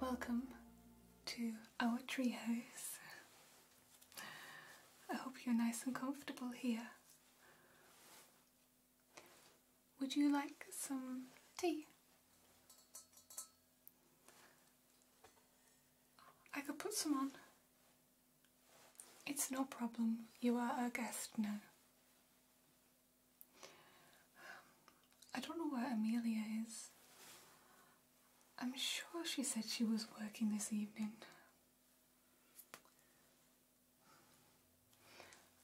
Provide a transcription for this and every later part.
Welcome to our treehouse. I hope you're nice and comfortable here. Would you like some tea? I could put some on. It's no problem, you are our guest now. I don't know where Amelia is. I'm sure she said she was working this evening.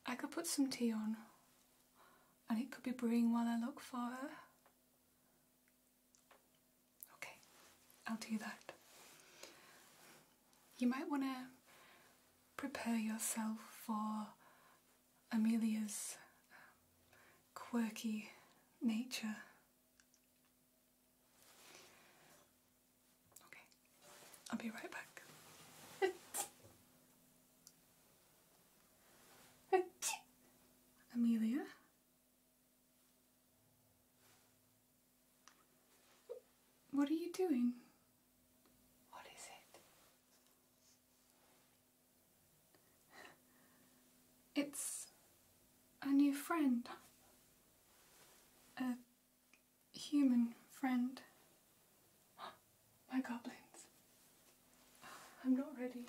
I could put some tea on and it could be brewing while I look for her. Okay, I'll do that. You might want to prepare yourself for Amelia's um, quirky nature. Okay, I'll be right back. Amelia? What are you doing? What is it? It's a new friend. A human friend. My goblins. I'm not ready.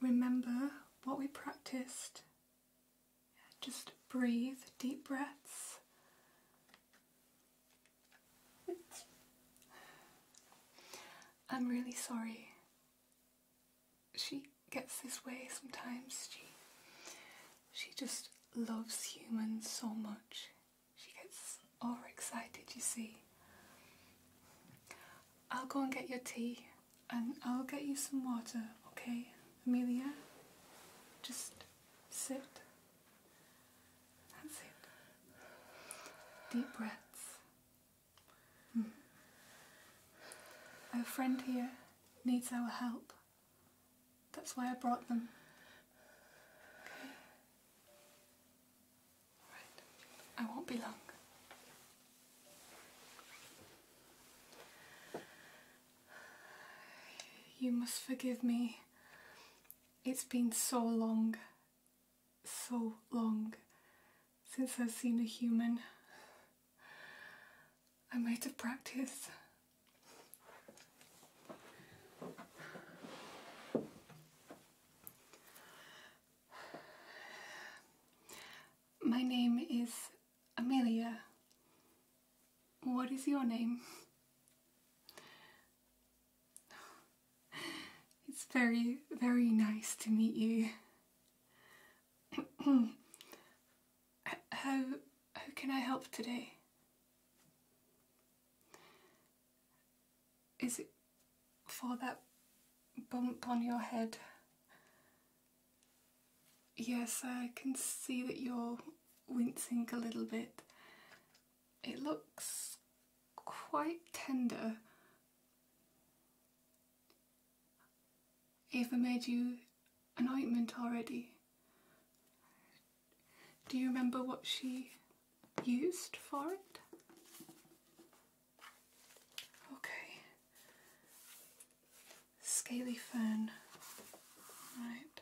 Remember what we practiced. Just breathe, deep breaths. I'm really sorry. She gets this way sometimes. She she just loves humans so much. She gets overexcited, you see. I'll go and get your tea and I'll get you some water, okay? Amelia, just sit. That's it. Deep breaths. Mm. Our friend here needs our help. That's why I brought them. I won't be long. You must forgive me it's been so long, so long since I've seen a human. I'm out of practice. My name is Amelia. What is your name? It's very, very nice to meet you. how, how can I help today? Is it for that bump on your head? Yes, I can see that you're wincing a little bit. It looks quite tender. Ava made you an ointment already. Do you remember what she used for it? Okay. Scaly fern. Right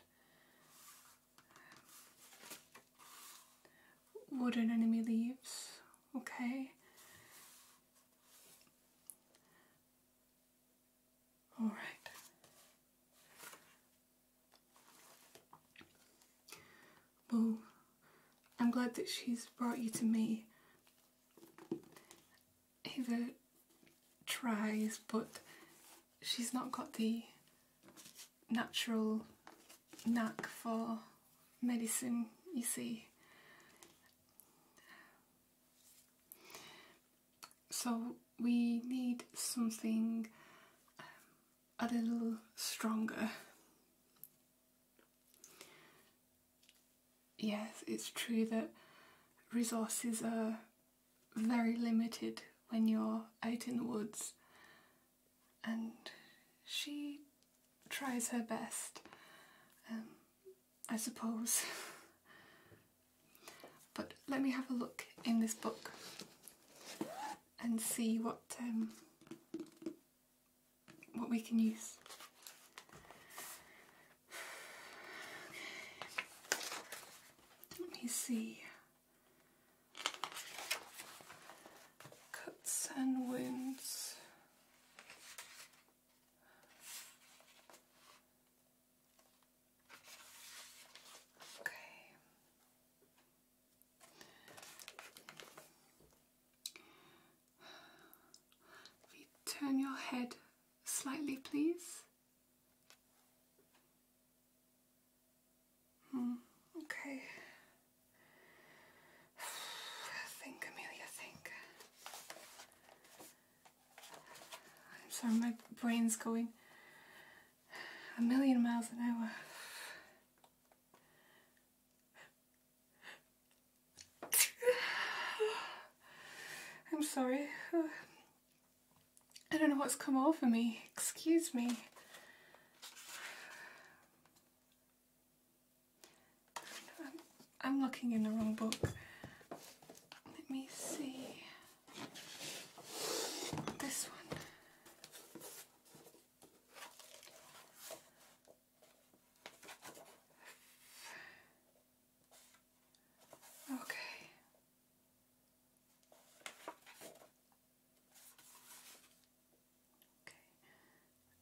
wooden enemy leaves, okay? All right. Well, I'm glad that she's brought you to me. Ava tries, but she's not got the natural knack for medicine, you see. So we need something um, a little stronger. Yes, it's true that resources are very limited when you're out in the woods and she tries her best, um, I suppose. but let me have a look in this book and see what um, what we can use. Let me see. Cuts and wounds. Okay. If you turn your head slightly, please. Hmm, okay. Think, Amelia, think. I'm sorry, my brain's going a million miles an hour. I'm sorry. I don't know what's come over me. Excuse me. I'm looking in the wrong book. Let me see. This one. Okay.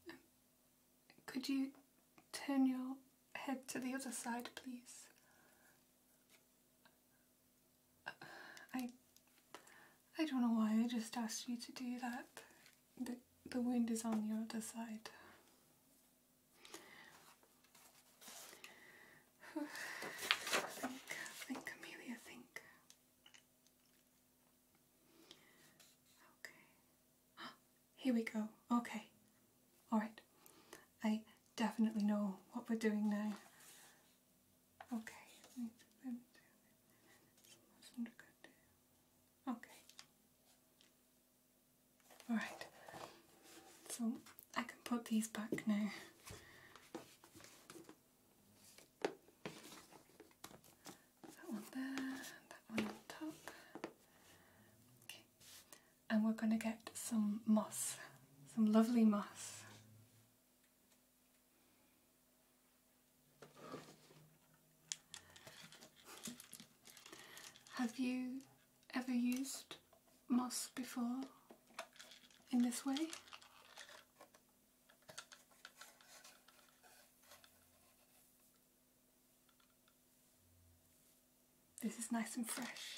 Um, could you turn your head to the other side, please? I, I don't know why I just asked you to do that. The, the wind is on the other side. think, think, Amelia, think. Okay. Here we go. Okay. Alright. I definitely know what we're doing now. Okay. Okay. Alright. So I can put these back now. That one there, that one on top. Okay, and we're going to get some moss, some lovely moss. Have you ever used moss before in this way? This is nice and fresh.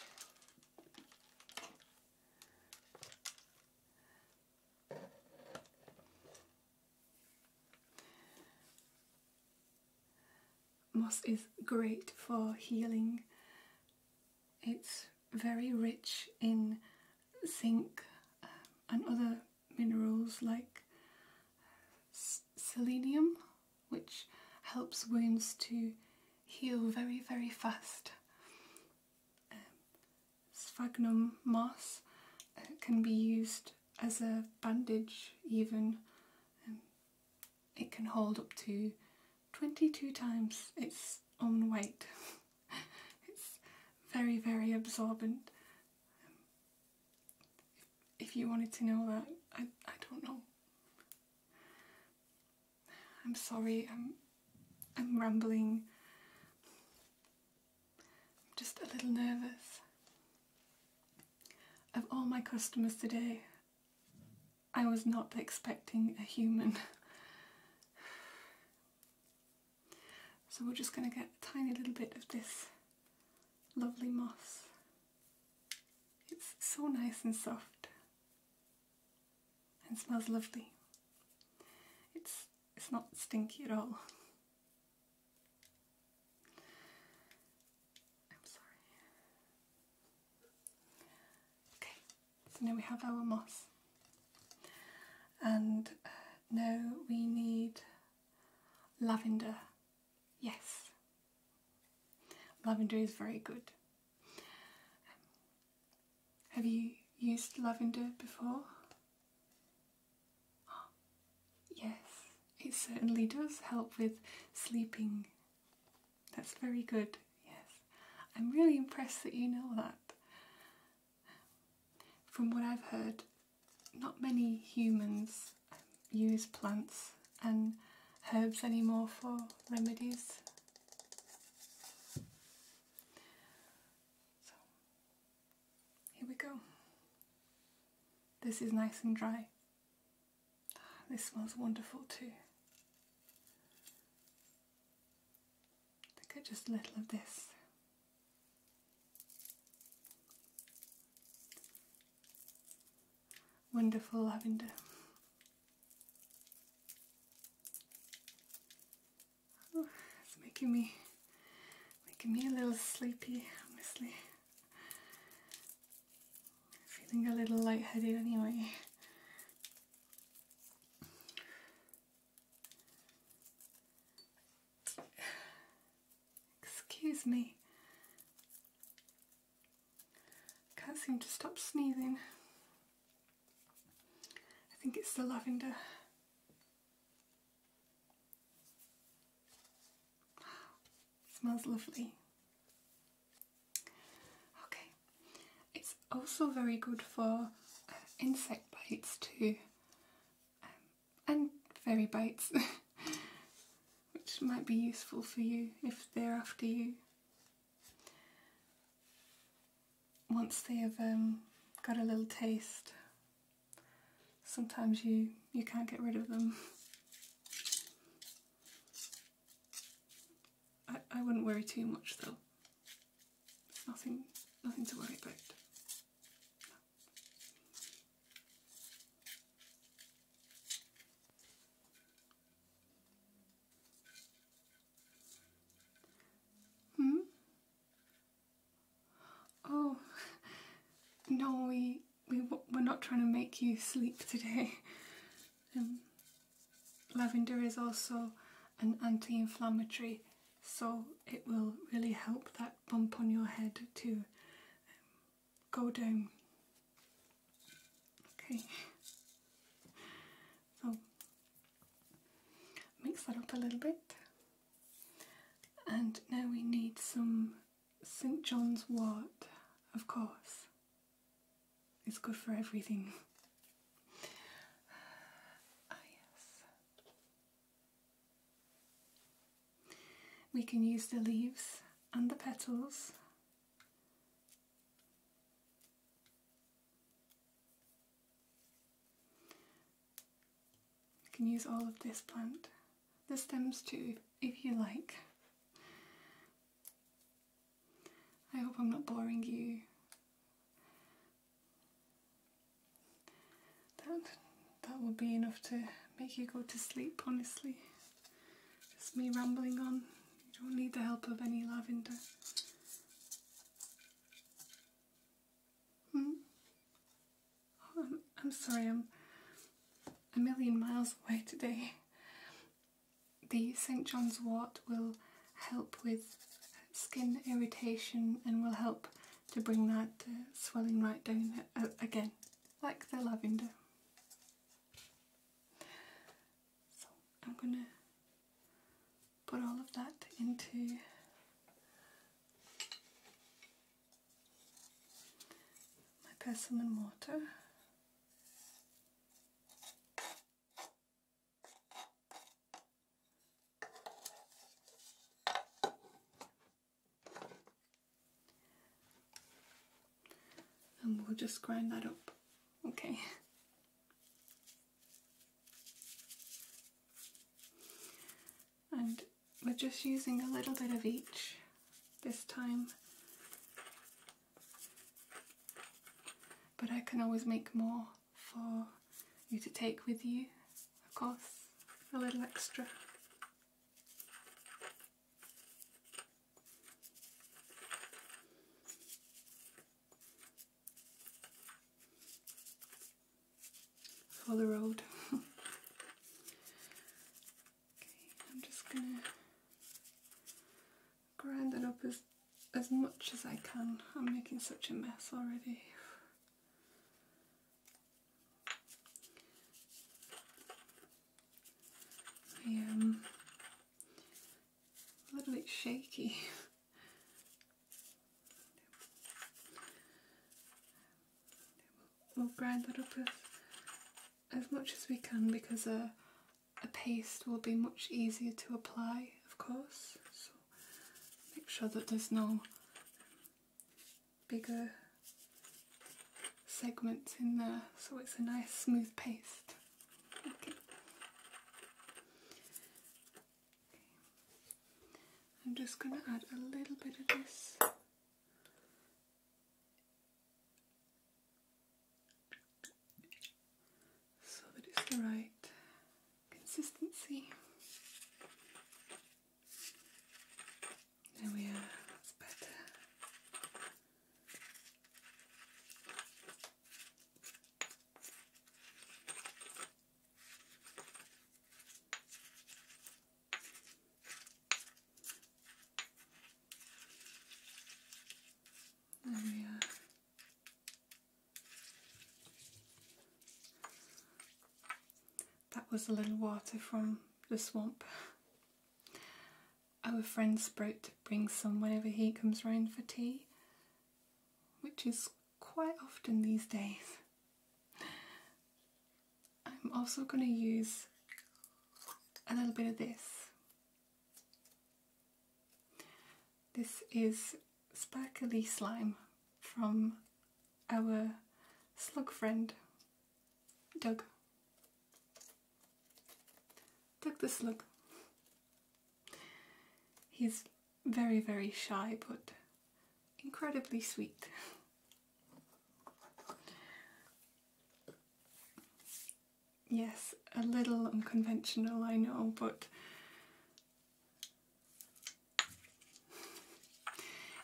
Moss is great for healing it's very rich in zinc um, and other minerals like uh, selenium, which helps wounds to heal very, very fast. Um, sphagnum moss uh, can be used as a bandage even. Um, it can hold up to 22 times its own weight. it's very, very absorbent. if, you wanted to know that, I, I don't know. I'm sorry, I'm, I'm rambling. I'm just a little nervous. Of all my customers today, I was not expecting a human. So we're just going to get a tiny little bit of this lovely moss. It's so nice and soft and smells lovely. It's, it's not stinky at all. I'm sorry. Okay, so now we have our moss. And uh, now we need lavender. Yes. Lavender is very good. have you used lavender before? yes, it certainly does help with sleeping. That's very good yes. I'm really impressed that you know that. From what I've heard, not many humans um, use plants and herbs anymore for remedies. So, here we go. This is nice and dry. This smells wonderful too. Look at just a little of this. Wonderful lavender. it's making me making me a little sleepy, honestly. Feeling a little lightheaded anyway. Excuse me. Can't seem to stop sneezing. I think it's the lavender. Smells lovely. Okay, it's also very good for uh, insect bites too, um, and fairy bites, which might be useful for you if they're after you. Once they have um, got a little taste, sometimes you, you can't get rid of them. I, I wouldn't worry too much though. Nothing, nothing to worry about. No. Hmm? Oh, no, we, we, we're not trying to make you sleep today. Um, Lavender is also an anti-inflammatory so it will really help that bump on your head to um, go down. Okay, so mix that up a little bit and now we need some St John's wort of course it's good for everything. Ah, yes. We can use the leaves and the petals You can use all of this plant, the stems too, if you like. I hope I'm not boring you. That, that will be enough to make you go to sleep, honestly. Just me rambling on. You don't need the help of any lavender. Hmm? Oh, I'm, I'm sorry, I'm a million miles away today. The St John's wort will help with skin irritation and will help to bring that uh, swelling right down uh, again, like the lavender. So I'm going to put all of that into my persimmon water. And we'll just grind that up. Okay. And we're just using a little bit of each this time. But I can always make more for you to take with you, of course, a little extra. For the road. okay, I'm just gonna grind it up as as much as I can. I'm making such a mess already. I am a little bit shaky. We'll grind that up as, much as we can because a, uh, a paste will be much easier to apply, of course make sure that there's no bigger segments in there so it's a nice smooth paste. I'm just going to add a little bit of this so that it's the right consistency. There we are, better. There we are. That was a little water from the swamp. Our friend Sprout brings some whenever he comes round for tea, which is quite often these days. I'm also going to use a little bit of this this is sparkly slime from our slug friend, Doug. Doug the slug. He's very, very shy, but incredibly sweet. yes, a little unconventional, I know, but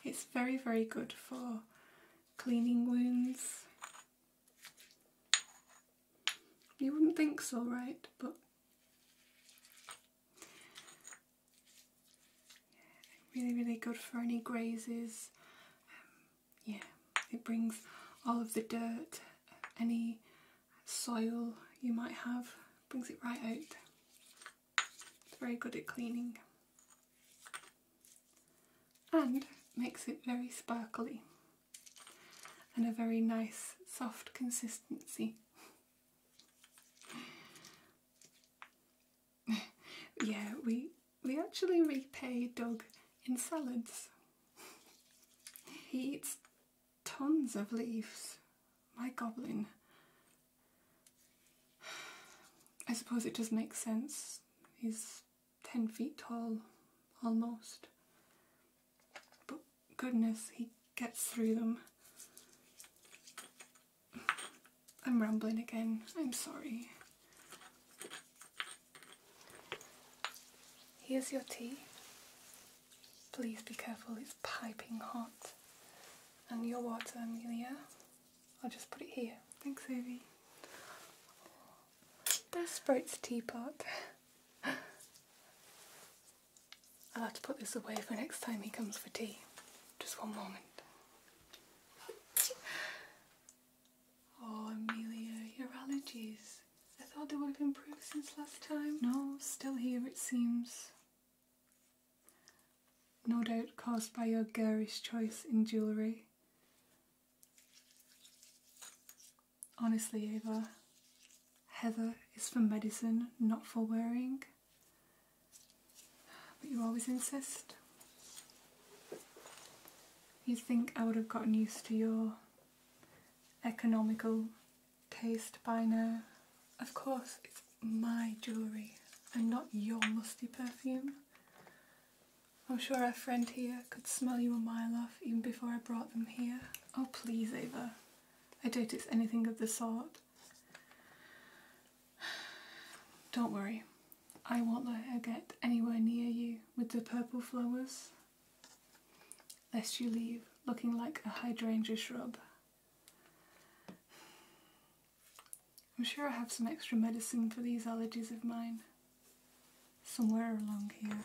it's very, very good for cleaning wounds. You wouldn't think so, right? But really, really good for any grazes. Um, yeah, it brings all of the dirt, any soil you might have, brings it right out. It's very good at cleaning and makes it very sparkly and a very nice soft consistency. yeah, we, we actually repay Doug in salads. he eats tons of leaves. My goblin. I suppose it just makes sense. He's 10 feet tall, almost. But goodness, he gets through them. I'm rambling again, I'm sorry. Here's your tea. Please be careful, it's piping hot. And your water, Amelia. I'll just put it here. Thanks, Evie. There's Sprite's teapot. I'll have to put this away for next time he comes for tea. Just one moment. Oh, Amelia, your allergies. I thought they would have improved since last time. No, still here it seems. No doubt caused by your garish choice in jewellery. Honestly, Ava, Heather is for medicine, not for wearing. But you always insist. you think I would have gotten used to your economical taste by now. Of course, it's my jewellery and not your musty perfume. I'm sure our friend here could smell you a mile off even before I brought them here. Oh, please, Ava. I do doubt it's anything of the sort. Don't worry, I won't let her get anywhere near you with the purple flowers lest you leave looking like a hydrangea shrub. I'm sure I have some extra medicine for these allergies of mine somewhere along here.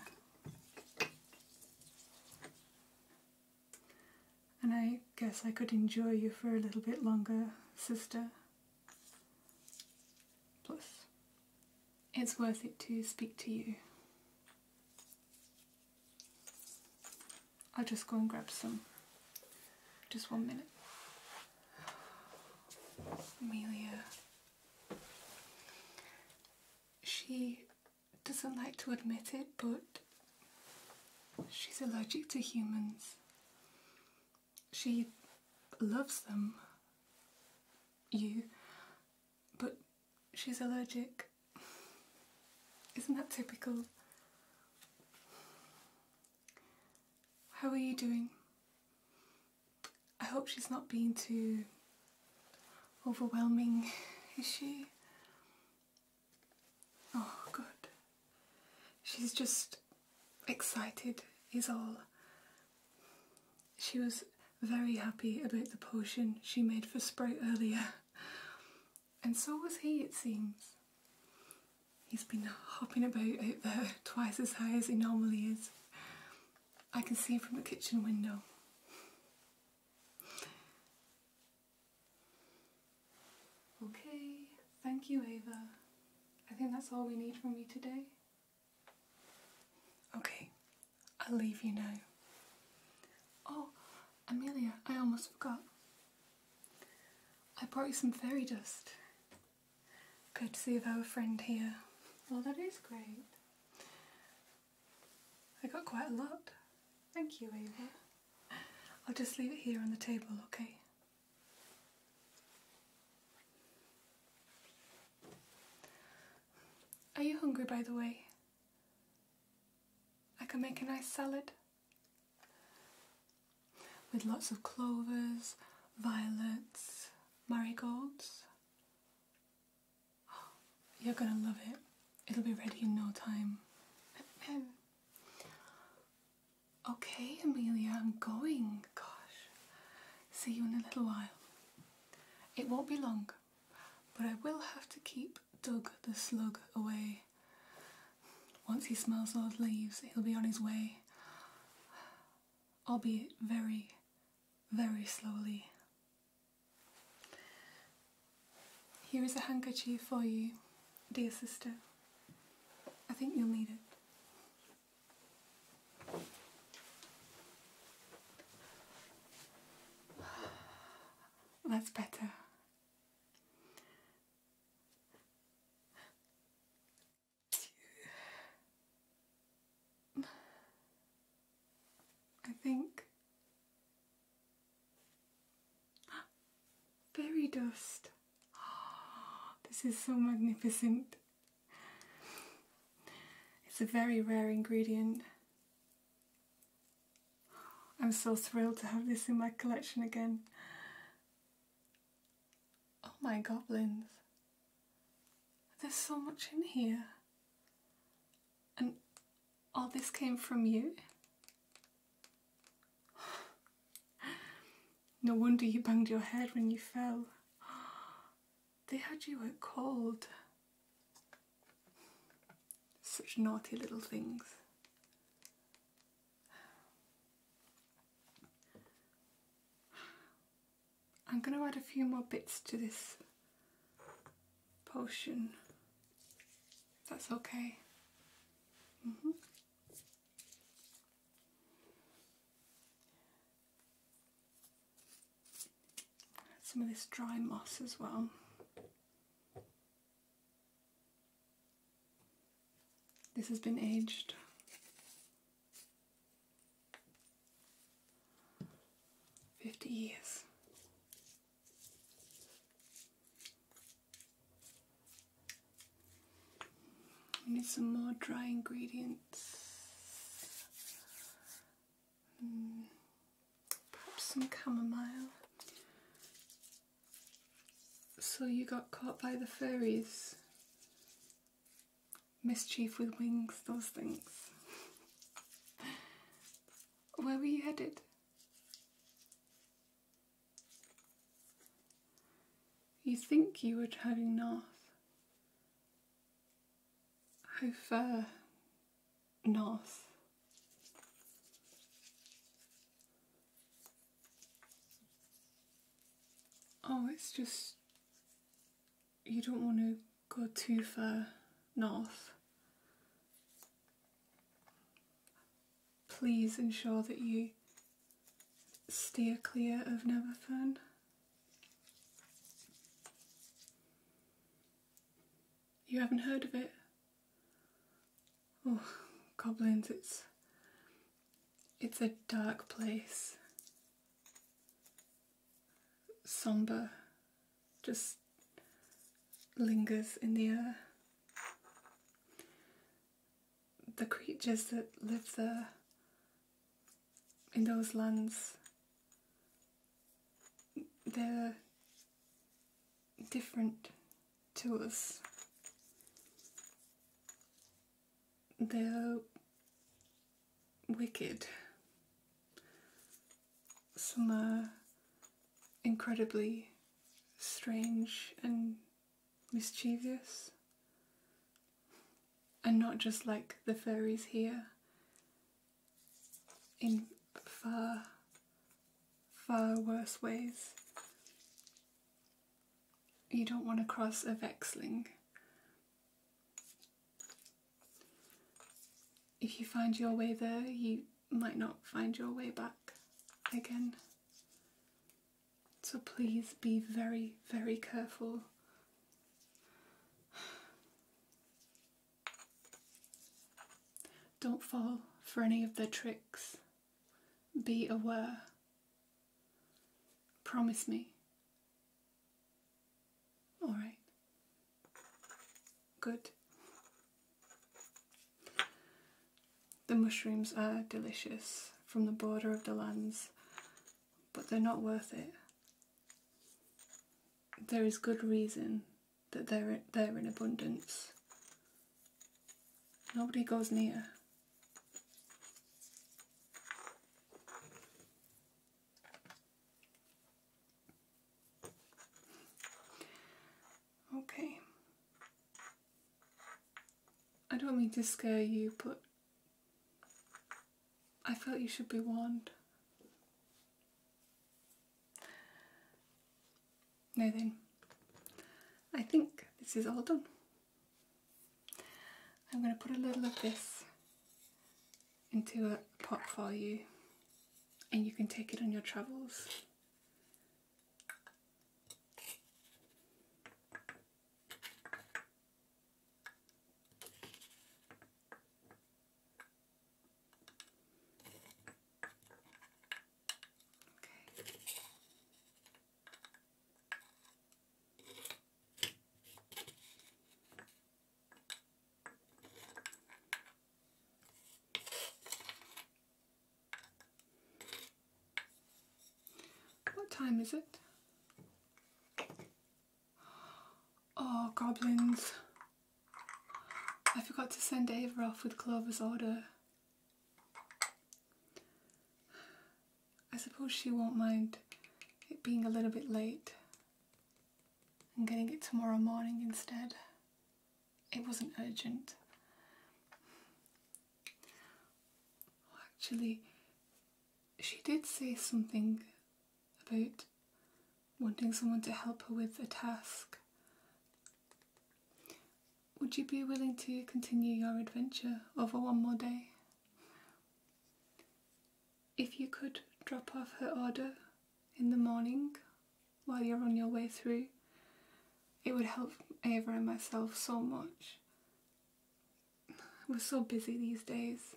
And I guess I could enjoy you for a little bit longer, sister. Plus, it's worth it to speak to you. I'll just go and grab some. Just one minute. Amelia. She doesn't like to admit it, but she's allergic to humans. She loves them, you, but she's allergic. Isn't that typical? How are you doing? I hope she's not being too overwhelming, is she? Oh, good. She's just excited, is all she was very happy about the potion she made for Sprout earlier. And so was he, it seems. He's been hopping about out there twice as high as he normally is. I can see him from the kitchen window. Okay, thank you, Ava. I think that's all we need from you today. Okay, I'll leave you now. Oh, Amelia, I almost forgot. I brought you some fairy dust. Good Courtesy of our friend here. Well, that is great. I got quite a lot. Thank you, Ava. I'll just leave it here on the table, okay? Are you hungry, by the way? I can make a nice salad with lots of clovers, violets, marigolds. you're gonna love it. It'll be ready in no time. okay, Amelia, I'm going. Gosh. See you in a little while. It won't be long but I will have to keep Doug the slug away. Once he smells those leaves, he'll be on his way, I'll be very, very slowly. Here is a handkerchief for you, dear sister. I think you'll need it. That's better. I think fairy dust. this is so magnificent. It's a very rare ingredient. I'm so thrilled to have this in my collection again. Oh my goblins. There's so much in here. And all this came from you? No wonder you banged your head when you fell. They had you at cold. Such naughty little things. I'm going to add a few more bits to this potion. That's okay. Mm-hmm some of this dry moss as well. This has been aged. Fifty years. We need some more dry ingredients. Hmm. perhaps some chamomile. So you got caught by the fairies. Mischief with wings, those things. Where were you headed? You think you were driving north how far north? Oh, it's just you don't want to go too far north. Please ensure that you steer clear of Neverfern. You haven't heard of it? Oh, goblins, it's it's a dark place. Somber just lingers in the air. The creatures that live there in those lands they're different to us. They're wicked. Some are incredibly strange and mischievous. And not just like the fairies here, in far, far worse ways. You don't want to cross a vexling. If you find your way there, you might not find your way back again. So please be very, very careful. Don't fall for any of their tricks. Be aware. Promise me. All right. Good. The mushrooms are delicious from the border of the lands, but they're not worth it there is good reason that they're, they're in abundance. Nobody goes near. Okay. I don't mean to scare you, but I felt you should be warned. Now then, I think this is all done. I'm going to put a little of this into a pot for you and you can take it on your travels. What time is it? Oh, goblins. I forgot to send Ava off with Clover's order. I suppose she won't mind it being a little bit late and getting it tomorrow morning instead. It wasn't urgent. Actually, she did say something about wanting someone to help her with a task. Would you be willing to continue your adventure over one more day? If you could drop off her order in the morning while you're on your way through, it would help Ava and myself so much. We're so busy these days.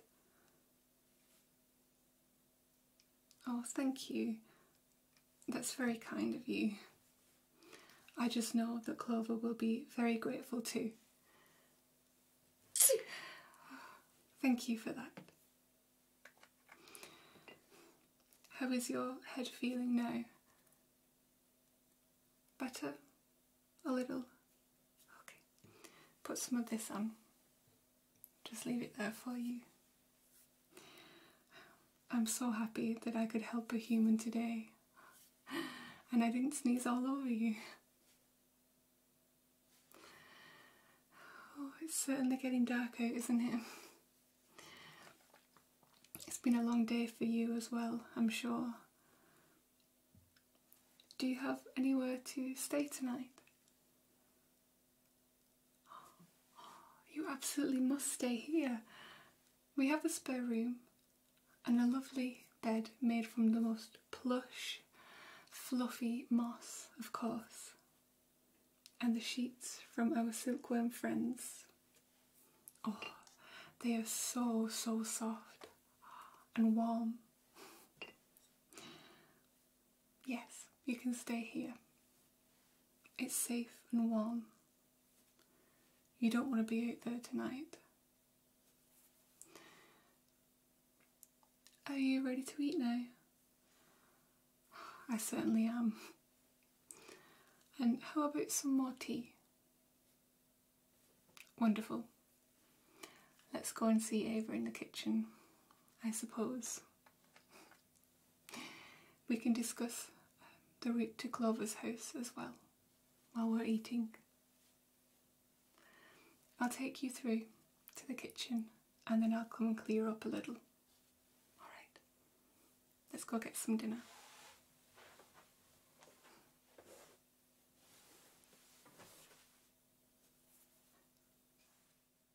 Oh, thank you. That's very kind of you. I just know that Clover will be very grateful too. Thank you for that. How is your head feeling now? Better? A little? Okay. Put some of this on just leave it there for you. I'm so happy that I could help a human today and I didn't sneeze all over you. Oh, it's certainly getting dark out, isn't it? It's been a long day for you as well, I'm sure. Do you have anywhere to stay tonight? you absolutely must stay here. We have a spare room and a lovely bed made from the most plush, fluffy moss, of course, and the sheets from our silkworm friends. Oh, they are so, so soft and warm. Yes, you can stay here. It's safe and warm. You don't want to be out there tonight. Are you ready to eat now? I certainly am. And how about some more tea? Wonderful. Let's go and see Ava in the kitchen. I suppose. We can discuss um, the route to Clover's house as well while we're eating. I'll take you through to the kitchen and then I'll come and clear up a little. Alright, let's go get some dinner.